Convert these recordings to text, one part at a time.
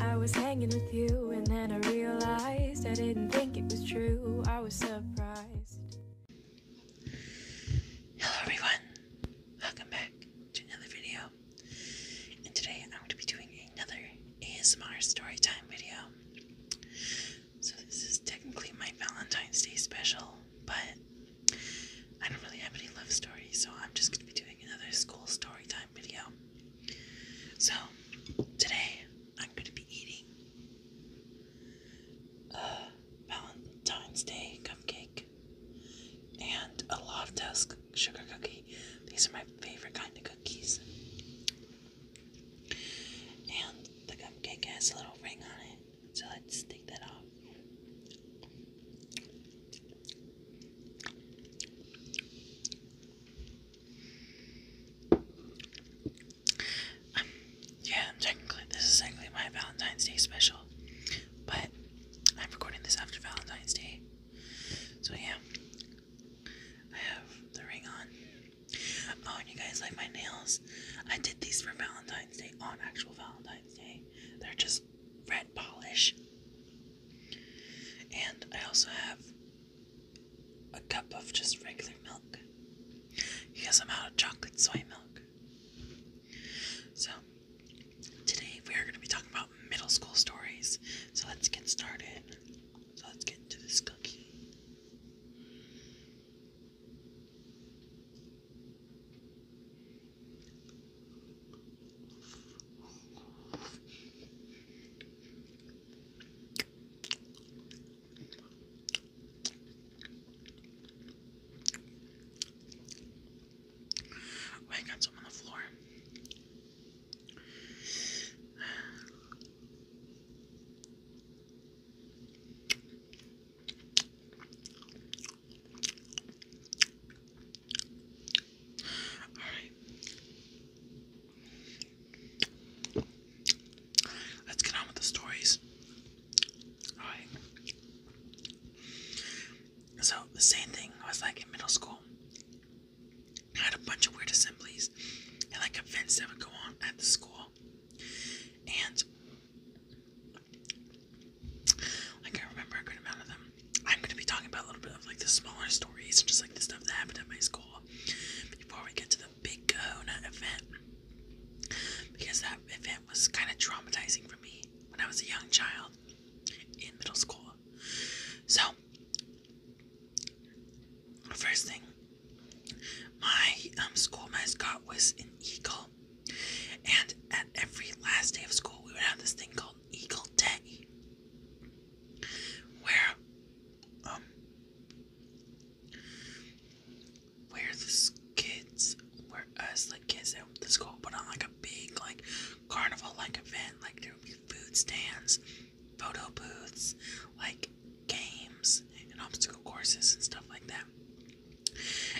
I was hanging with you, and then I realized I didn't think it was true. I was surprised. Hello, everyone. Welcome back to another video. And today I'm going to be doing another ASMR story video. So, this is technically my Valentine's Day special, but I don't really have any love stories, so I'm just going to be doing another school story video. So, today I'm going to be eating a uh, Valentine's Day cupcake and a Loftus sugar cookie. These are my favorite kind of cookies. And the cupcake has a little ring on it, so let's take that off. Um, yeah, technically, this is technically my Valentine's Day special, but I'm recording this after Valentine's Day. So, yeah, I have the ring on. Oh, and you guys like my nails? I did these for Valentine's Day on actual Valentine's Day. They're just red polish. And I also have a cup of just regular milk because I'm out of chocolate soy milk. So, today we are going to be talking about middle school stories. So, let's get started. So, let's get into this cookie. Oh, I got some on the floor. Alright. Let's get on with the stories. Alright. So, the same thing was like in middle school. I had a bunch of weird assemblies and like events that would go on at the school. And like I remember a good amount of them. I'm gonna be talking about a little bit of like the smaller stories and just like the stuff that happened at my school before we get to the big Kahuna event because that event was kind of traumatizing for me when I was a young child in middle school. So, first thing, my um, school mascot was an eagle, and at every last day of school, we would have this thing called Eagle Day, where um where the kids, where us like kids at the school put on like a big like carnival like event, like there would be food stands, photo booths, like games and obstacle courses and stuff like that.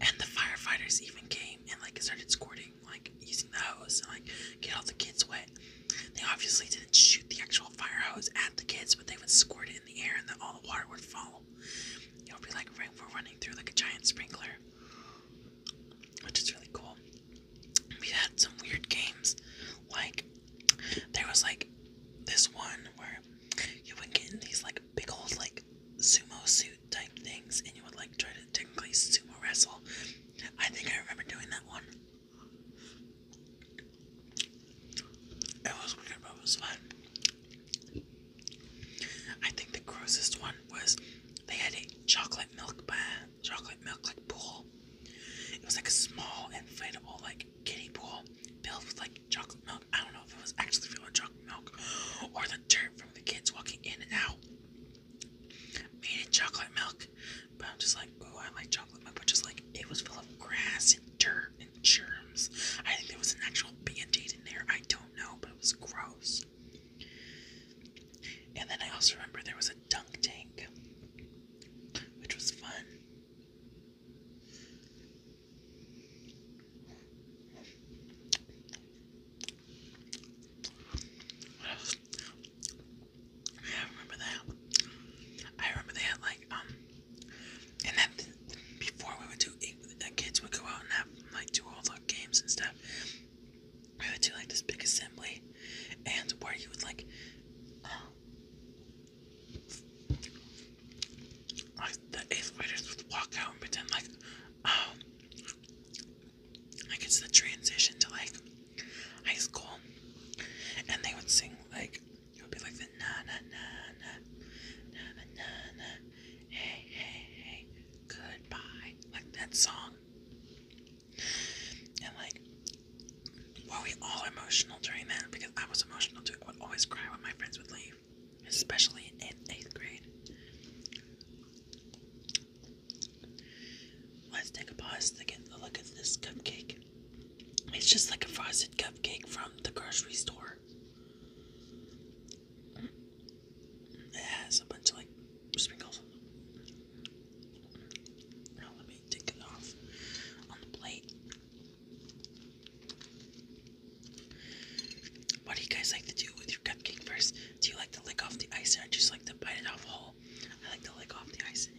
And the firefighters even came and like started squirting doing, like using the hose and like get all the kids wet. They obviously didn't shoot the actual fire hose at the kids, but they would squirt it in the air and then all the water would fall. It would be like rainfall running through like a giant sprinkler, which is really cool. We've had some weird games, like there was like this one where you would get in these like big old like sumo suits type things and you would like try to technically sumo wrestle. I think I remember doing that one. It was weird, but it was fun. I think the grossest one was they had a chocolate milk bath, chocolate milk like pool. It was like a small inflatable like kiddie pool filled with like chocolate milk. I don't know if it was actually filled with chocolate milk or the dirt from the kids walking in and out made in chocolate milk. But I'm just like, oh, I like chocolate milk, but just like it was full of grass and dirt and germs. I think there was an actual band-aid in there. I don't know, but it was gross. And then I also remember there was a dunk tank, which was fun. I remember that. I remember they had like um, and then before we would do, eh, the kids would go out and have like do all the games and stuff. We would do like this big assembly, and where you would like, uh, like the eighth graders would walk out and pretend like, oh, like it's the transition to like high school, and they would sing like it would be like the na na na na na na na, hey hey hey goodbye like that song, and like were we all emotional during that because I was emotional too. would always cry when my friends would leave, especially in eighth grade. Let's take a pause to get a look at this cupcake. It's just like a frosted cupcake from the grocery store. It has a bunch of like sprinkles. Now let me take it off on the plate. What do you guys like to do with your cupcake first? Do you like to lick off the ice, or just like to bite it off whole? I like to lick off the icing.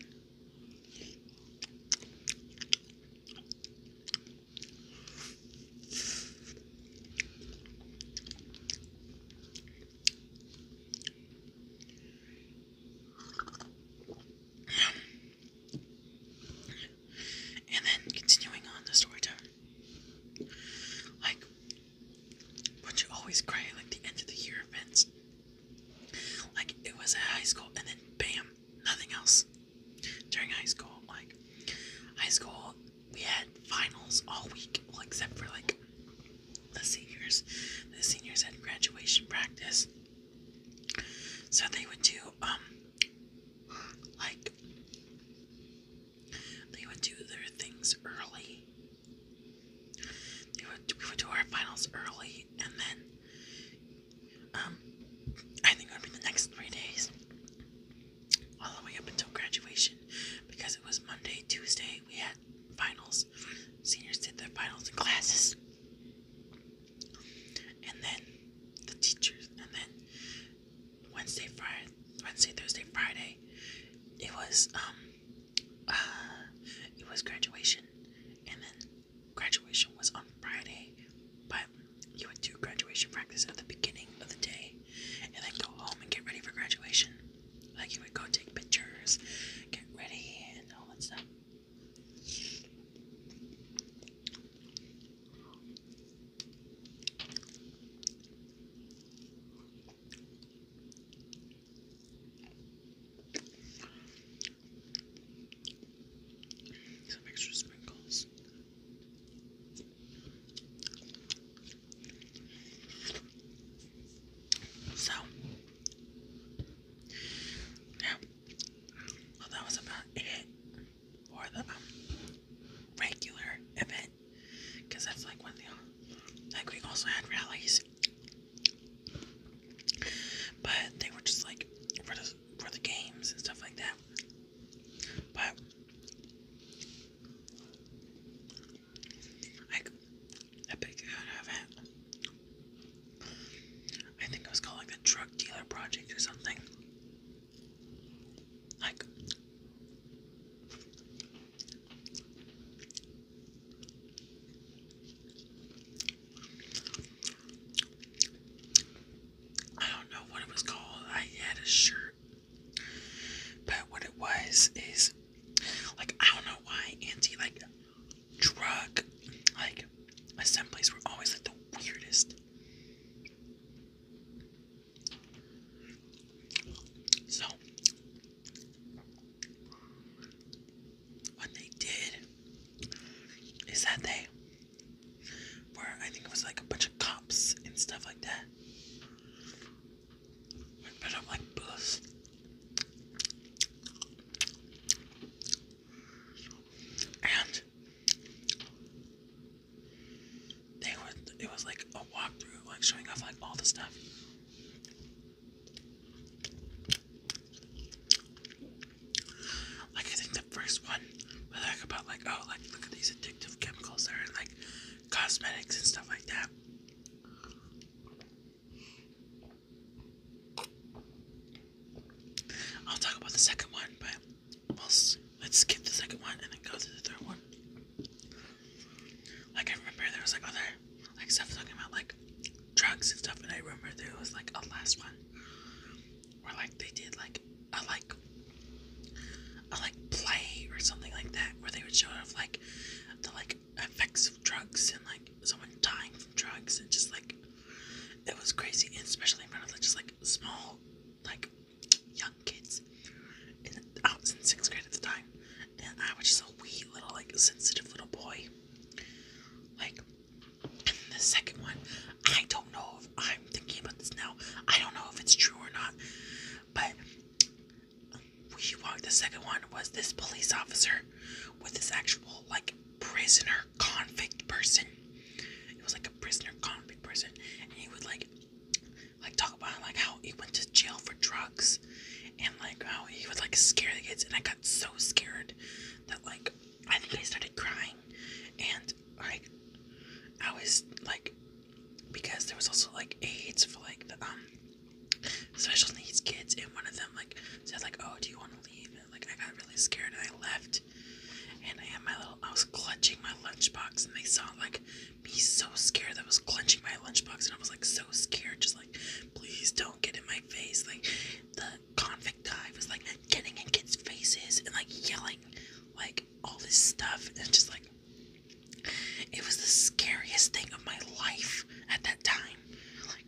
And then continuing on the story time. Like but you always cry like the end of the year events? Like it was at high school and then bam, nothing else. During high school, like high school, we had finals all week, except for like the seniors. The seniors had graduation practice. So they would do um like they would do their things early. They would, we would do our finals early, and then um, I think it would be the next three days, all the way up until graduation, because it was Monday, Tuesday. We had finals. Seniors did their finals in classes, and then the teachers, and then Wednesday, Friday, Wednesday, Thursday, Friday. It was um, uh, it was graduation, and then graduation was on Friday, but you would do graduation practice at the beginning of the day, and then go home and get ready for graduation. Like you would go take pictures, get ready, and all that stuff. Some extra sprinkles. So, yeah, well, that was about it for the um, regular event because that's like one of the like we also had rallies but they were just like for the for the games and stuff like that but I, I picked it I think it was called the drug dealer project or something like, I don't know what it was called. I had a shirt, but what it was is like I don't know why anti like drug like assemblies were always like the weirdest. So, what they did is that they were, I think it was like a bunch of cops and stuff like that, would up like booths. And they were. It was like a walkthrough, like showing off like all the stuff. Like I think the first one was like about like oh like look at these addictive chemicals that in like cosmetics and stuff like that. I'll talk about the second one, but well, let's skip the second one and then go to the third one. Like, I remember there was like other like stuff talking about like drugs and stuff, and I remember there was like a last one where like they did like a like a like play or something like that where they would show off like the like effects of drugs and like someone dying from drugs and just like it was crazy, and especially in front of like, just like small like young kids. And I was in sixth grade at the time, and I was just a wee little, like, sensitive little boy. Like, the second one, I don't know if I'm thinking about this now. I don't know if it's true or not, but we walked. The second one was this police officer with this actual like prisoner convict person. It was like a prisoner convict person, and he would like like talk about like how he went to jail for drugs and like how he would like scare the kids and I got so scared that like I think I started crying and like I was like because there was also like aids for like the um special needs kids and one of them like said like oh do you want to leave and like I got really scared and I left and I had my little, I was clutching my lunchbox, and they saw like me so scared that I was clutching my lunchbox, and I was like so scared, just like, please don't get in my face. Like the convict guy was like getting in kids' faces and like yelling, like all this stuff, and just like it was the scariest thing of my life at that time. Like,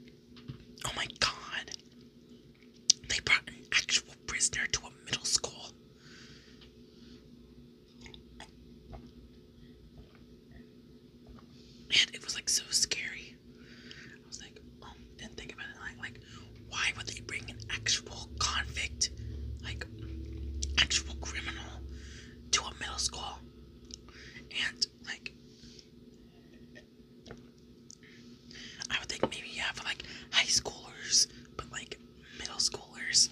oh my god. They brought an actual prisoner to a middle school. And it was like so scary. I was like, um, didn't think about it. Like, like, why would they bring an actual convict, like actual criminal, to a middle school? And like, I would think maybe yeah for like high schoolers, but like middle schoolers.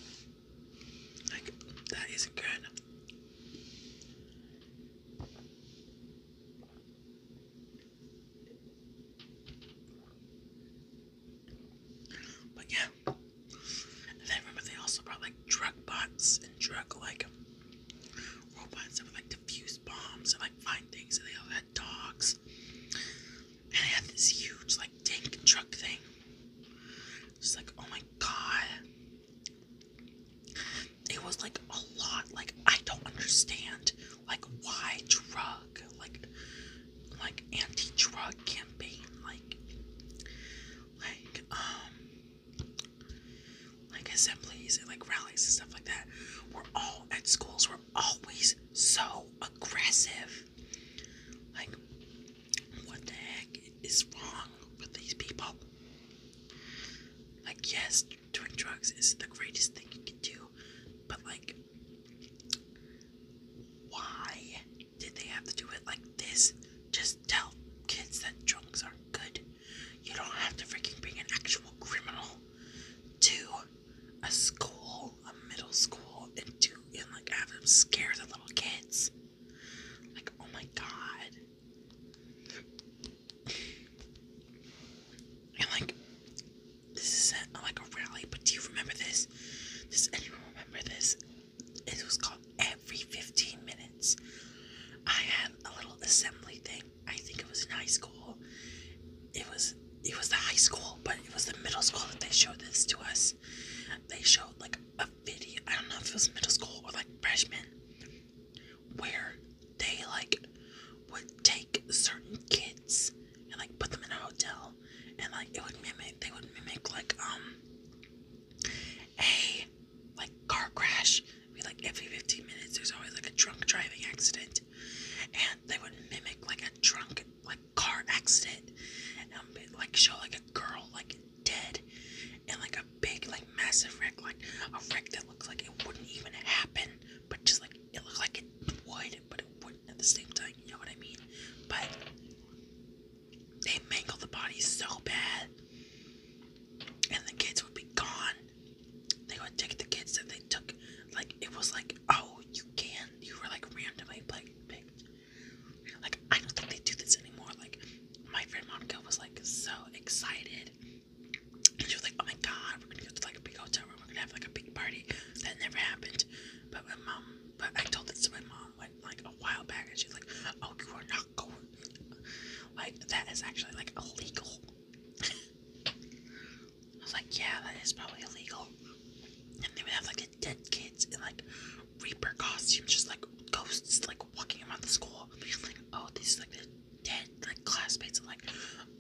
Like, that isn't good. But yeah, and remember they also brought like drug bots and drug like robots that would like diffuse bombs and like find things, and they all had dogs and I had this huge like tank truck thing. Just like, oh my god. It was like a lot. Like I don't understand like why drug like like anti-drug campaign like like um like assemblies and like rallies and stuff like that. We're all at schools, we're always so aggressive. Like, what the heck is wrong with these people? Like, yes, doing drugs is the greatest thing you can do, but like, why did they have to do it like this? Just tell kids that drugs are not good. You don't have to freaking bring an actual criminal to a school, a middle school, and do and like have them scare the little kids. Like, oh my god. And like, this is like a rally, but do you remember this? Does anyone remember this? It was called Every 15 Minutes. I had a little assembly thing. I think it was in high school. It was it was the high school, but it was the middle school that they showed this to us. They showed like a video, I don't know if it was middle school or like freshman, where they like would take certain kids and like put them in a hotel and like it would mimic, they would mimic like, um, a like car crash. We like every 15 minutes, there's always like a drunk driving accident, and they would mimic like a drunk like car accident and like show like a girl like dead and like a big like massive wreck like a wreck that looks like it wouldn't even happen but just like it looked like it would but it wouldn't at the same time you know what I mean but they mangled the bodies so bad and the kids would be gone they would take the kids that they took like it was like oh you can you were like randomly like picked like I don't think they do this anymore like my friend Monica was like so excited and she was like oh my god we're gonna go to like a big hotel room we're gonna have like a big party that never happened but my mom but I told this to my mom like a while back and she's like oh you are not going like that is actually like illegal I was like, yeah, that is probably illegal. And they would have like a dead kids in like Reaper costumes, just like ghosts, like walking around the school. Like, oh, these like the dead like classmates. i like,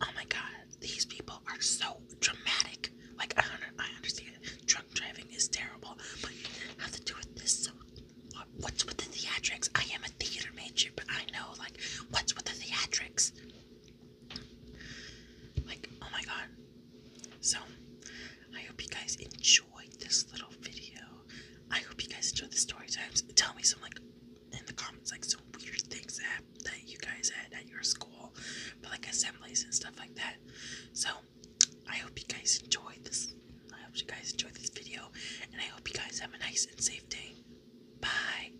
oh my god, these people are so dramatic. Like, I I understand drunk driving is terrible, but have to do with this. So, what, what's with the theatrics? I am a theater major, but I know like what's with the theatrics. Like, oh my god. So, I hope you guys enjoyed this little video. I hope you guys enjoyed the story times. Tell me some, like, in the comments, like, some weird things that, that you guys had at your school. But, like, assemblies and stuff like that. So, I hope you guys enjoyed this. I hope you guys enjoyed this video. And I hope you guys have a nice and safe day. Bye.